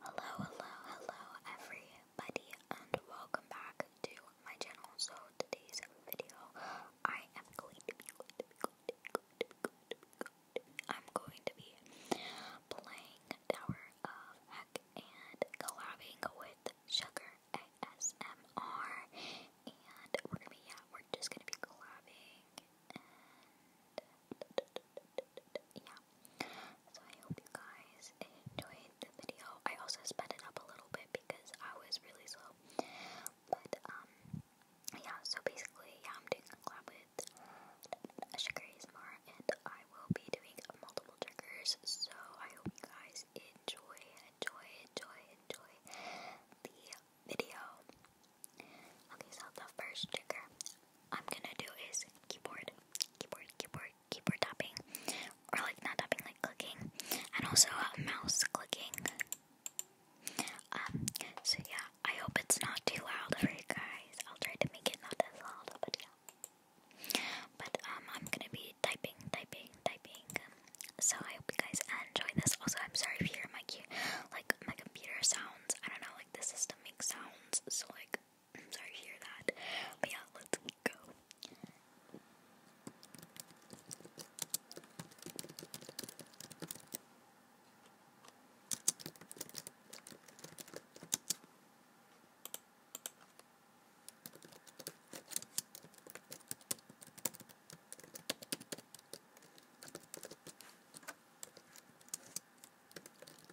Hello, hello, hello everybody and welcome back to my channel. So today's video I am going to be going to be going to be going to be going to be, going to be going to be playing Tower of Heck and collabing with Sugar ASMR and we're gonna be yeah, we're just gonna be collabing yeah. So I hope you guys enjoyed the video. I also sped it up a little bit because I was really slow. But um yeah, so basically yeah I'm doing a collab with Shikarismar and I will be doing multiple triggers. So I hope you guys enjoy, enjoy, enjoy, enjoy the video. Okay, so the first trigger I'm gonna do is keyboard, keyboard, keyboard, keyboard typing, or like not tapping, like clicking, and also mouse clicking. Um, so yeah, I hope it's not too loud for you guys. I'll try to make it not as loud, but yeah. But um, I'm gonna be typing, typing, typing. so I hope you guys enjoy this. Also, I'm sorry if you hear like my computer sounds. I don't know, like the system makes sounds. So like I'm sorry to hear that. But yeah, let's go.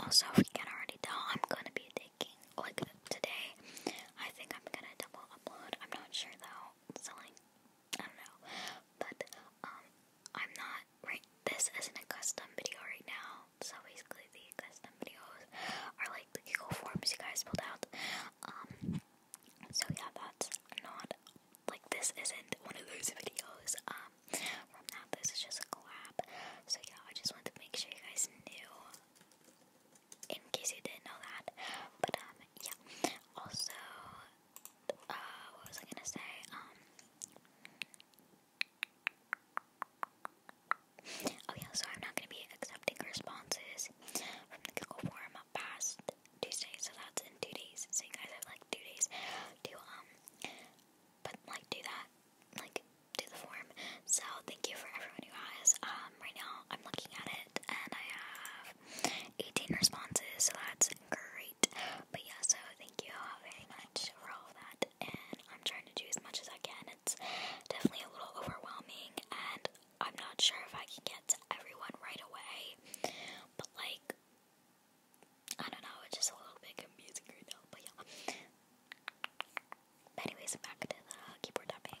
Also, if you already tell, I'm gonna be taking, like, today, I think I'm gonna double upload. I'm not sure though, so, like, I don't know. But, um, I'm not, right, this isn't a custom video right now, so basically the custom videos are like the Google Forms you guys pulled out. Um, so yeah, that's not like this isn't one of those videos um from that. This is just a collab. So yeah, I just wanted to make sure you guys knew in case you didn't know that. But um yeah. Also uh, what was I gonna say? Um Oh yeah, so I'm not gonna be accepting responses from the Google form past Tuesday, so that's in two days. So you guys have like two days to um, but like do that, like do the form. So thank you for everyone who has. Um, right now I'm looking at it and I have 18 responses, so that's great. But yeah, so thank you very much for all of that, and I'm trying to do as much as I can. It's definitely a little overwhelming and I'm not sure if I can get to everyone right away, but like, I don't know, it's just a little bit confusing right now, but yeah. But anyways, back to the keyboard tapping.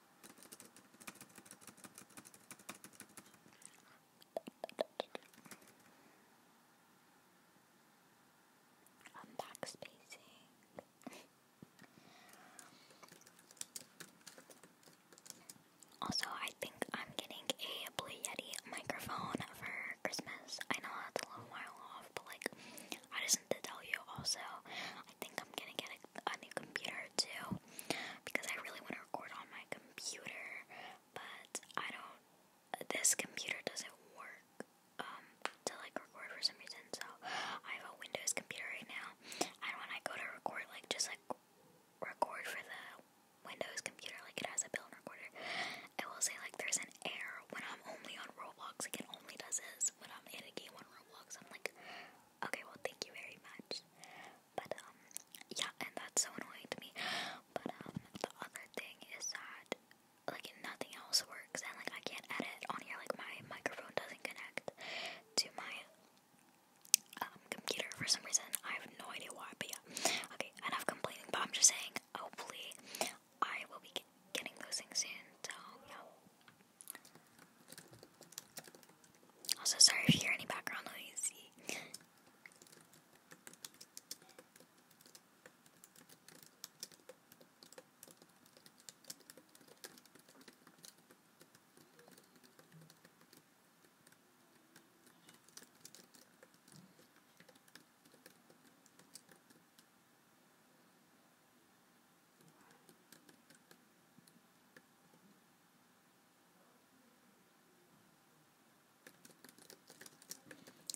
I'm also, I think I'm getting a Blue Yeti microphone for Christmas. I know that's a little while off, but like, I just need to tell you also, I think I'm gonna get a a new computer too because I really want to record on my computer, but I don't. This computer doesn't work um, to like record for some reason, so I have a Windows computer right now. And when I go to record, like just like record for the Windows computer, like it has a built-in recorder, it will say like there's an error when I'm only on Roblox. Like it only does this when I'm in a game on Roblox. I'm like, Okay, well, thank you very much. But, um, yeah, and that's so annoying to me. But, um, the other thing is that, like, nothing else works, and, like, I can't edit on here. Like, my microphone doesn't connect to my, um, computer for some reason. I have no idea why, but yeah. Okay, enough complaining, but I'm just saying, hopefully, I will be getting those things soon, so, yeah. Also, sorry if you hear any background noise.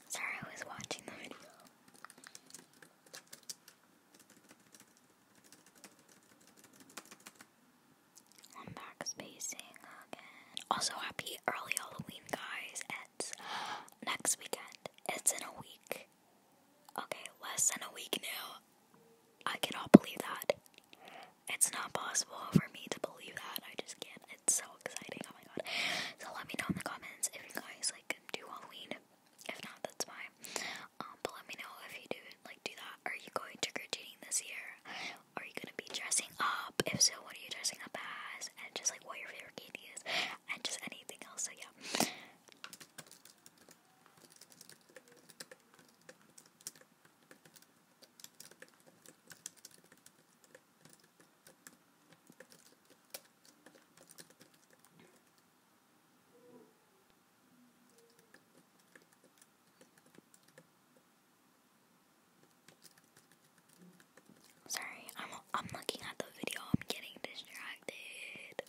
Sorry, I was watching the video. I'm back spacing again. Also, happy early Halloween, guys. It's next weekend. It's in a week. Okay, less than a week now. I cannot believe that. It's not possible for me to believe that. I just can't. It's so exciting. Oh my god. So let me know in the comments if you guys like do Halloween. If not, that's fine. Um, but let me know if you do like do that. Are you going trick or treating this year? Are you gonna be dressing up? If so, what are you dressing up as? And just like what your favorite candy is, and just anything else. So yeah. Sorry, I'm I'm looking at the video. I'm getting distracted.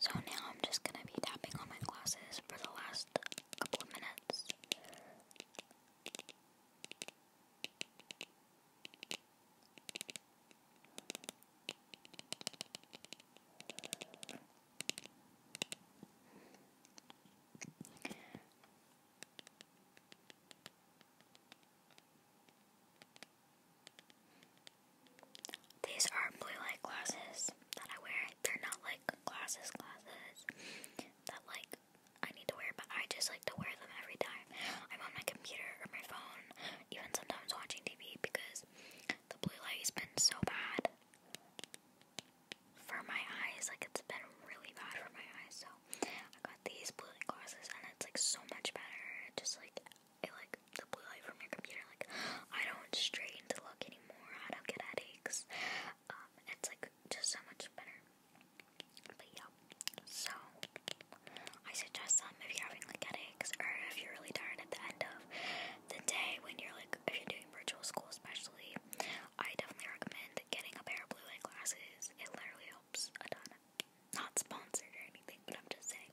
So now I'm just going to be tapping on my glasses for the last couple of minutes. These are blue light glasses that I wear. They're not like glasses, glasses that like I need to wear, but I just like to wear them every time I'm on my computer or my phone even sometimes watching TV because the blue light has been so bad for my eyes. Like, it's been really bad for my eyes. So, I got these blue light glasses, and it's like so much better. Just like, it like the blue light from your computer. Like, I don't strain to look anymore, I don't get headaches. Um, it's like just so much better. But yeah, so I suggest some um, if you're having like headaches or if you're really tired at the end of the day when you're like, if you're doing virtual school especially, I definitely recommend getting a pair of blue light glasses. It literally helps a ton. Not sponsored or anything, but I'm just saying.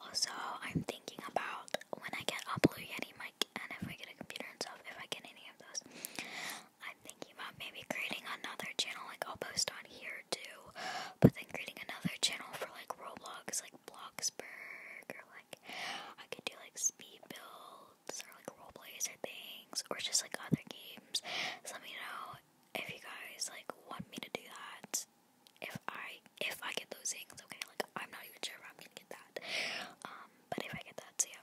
Also, I'm thinking about when I get a Blue Yeti mic and if I get a computer and stuff, if I get any of those, I'm thinking about maybe creating another channel. Like, I'll post on here too, but then creating another channel for like Roblox, like Bloxburg, or like I could do like speed build builds or like role plays or things or just like other games. So let me know if you guys like want me to do that. If I if I get those things, okay, like I'm not even sure if I'm gonna get that. Um, but if I get that, so yeah.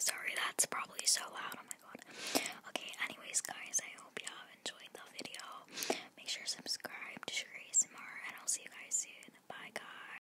Sorry, that's probably so loud. Oh my god. Okay, anyways, guys, I hope y'all enjoyed the video. Make sure to subscribe to Sugar ASMR, and I'll see you guys soon. Bye, guys.